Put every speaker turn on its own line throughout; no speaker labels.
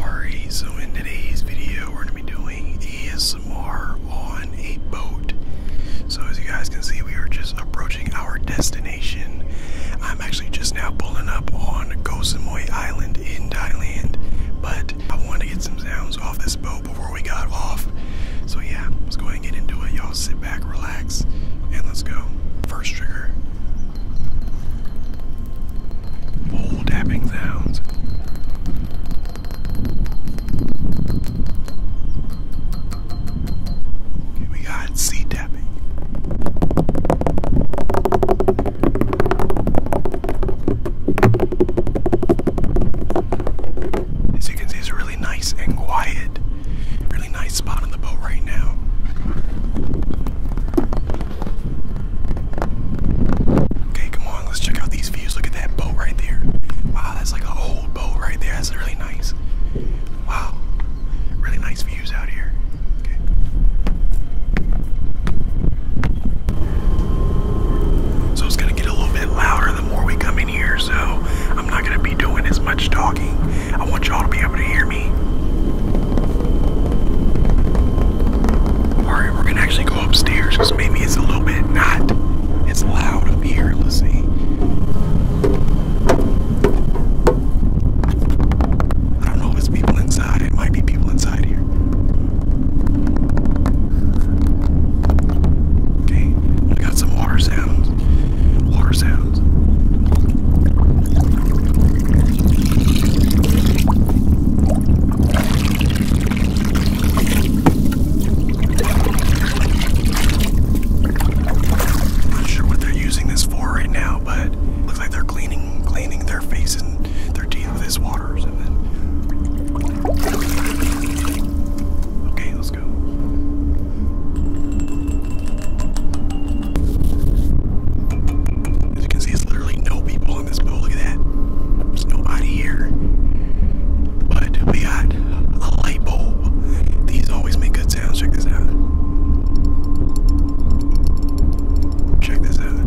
Alright, so in today's video we're going to be doing ASMR on a boat. So as you guys can see we are just approaching our destination. I'm actually just now pulling up on Koh Island in Thailand. But I want to get some sounds off this boat before we got off. So yeah, let's go ahead and get into it. Y'all sit back, relax, and let's go. First trigger, Old dabbing sounds. Okay, we got sea dabbing. As you can see, it's a really nice and quiet, really nice spot on the boat right now. Okay, come on, let's check out these views. Look at that boat right there. Wow, that's like an old boat right there. That's really nice. Wow, really nice views out here. Okay. So it's gonna get a little bit louder the more we come in here, so I'm not gonna be doing as much talking. I want y'all to be able to hear me. Alright, we're gonna actually go upstairs because maybe it's a little bit not as loud up here. Let's see. I don't know if it's people inside. It might be people inside here. Okay, we got some water sounds water sounds. Not sure what they're using this for right now, but looks like they're cleaning cleaning their face and their teeth with this water or something. Okay, as you can see, there's literally no people on this boat. Look at that. There's nobody here. But we got a light bulb. These always make good sounds. Check this out. Check this out.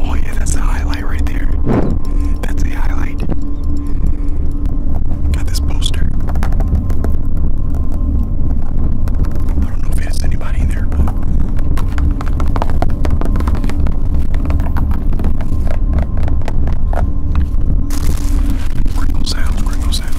Oh, yeah, that's the highlight right there. That's a highlight. Got this poster. I don't know if it's anybody there, but. sounds, crinkle sounds.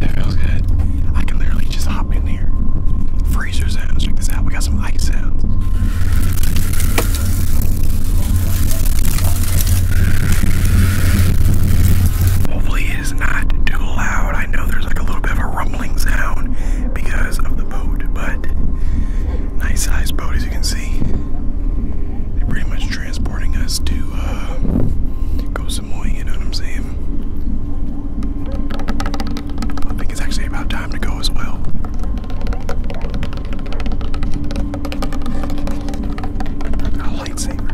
It feels good. I can literally just hop in here. Freezer Check this out. We got some ice sounds. Hopefully, it is not too loud. I know there's like a little bit of a rumbling sound because of the boat, but nice sized boat as you can see. They're pretty much transporting us to uh, go some more, you know what I'm saying? I think it's actually about time to go as well. lightsaber.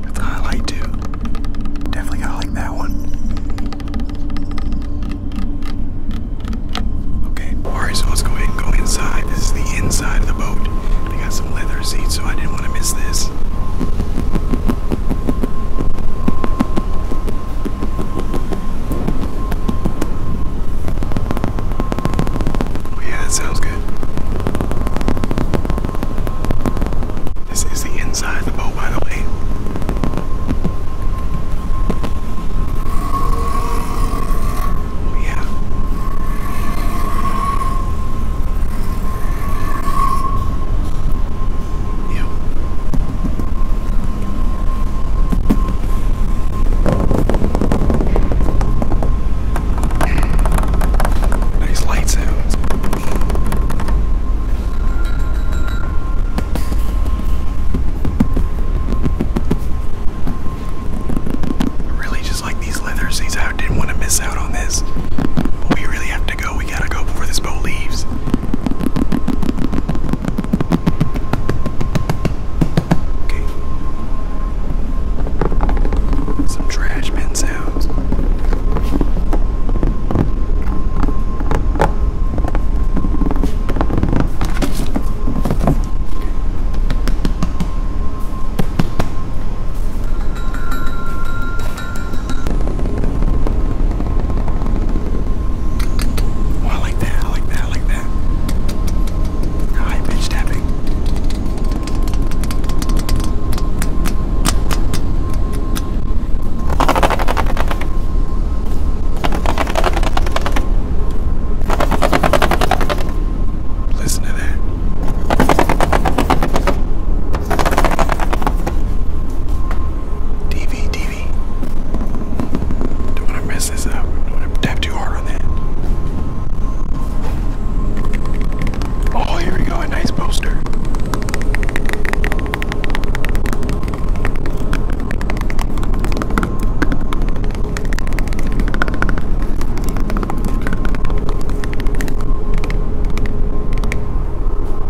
That's a highlight too. Definitely gotta like that one. Okay, alright, so let's go ahead and go inside. This is the inside of the boat. They got some leather seats, so I didn't want to miss this. Oh yeah, that sounds good. This is the inside of the boat, by the way. Oh yeah. Yeah. Nice light sounds. really just like these leather seats. I didn't want to miss out on this. we really have to go. We gotta go before this boat leaves. Some trash bin sounds. I like that. I like that. I like that. High pitch tapping. Listen to that. DVD don't want to mess this up. Don't want to tap too hard on that. Oh, here we go. A nice poster.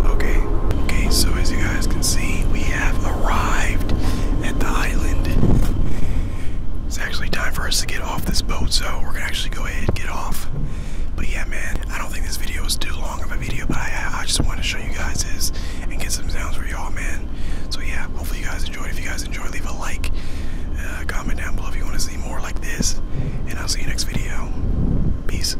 Okay, okay, so as you guys can see, we arrived at the island. It's actually time for us to get off this boat, so we're gonna actually go ahead and get off. But yeah, man, I don't think this video is too long of a video, but I, I just want to show you guys this and get some sounds for y'all, man. So yeah, hopefully you guys enjoyed. If you guys enjoyed, leave a like, uh, comment down below if you want to see more like this, and I'll see you next video. Peace.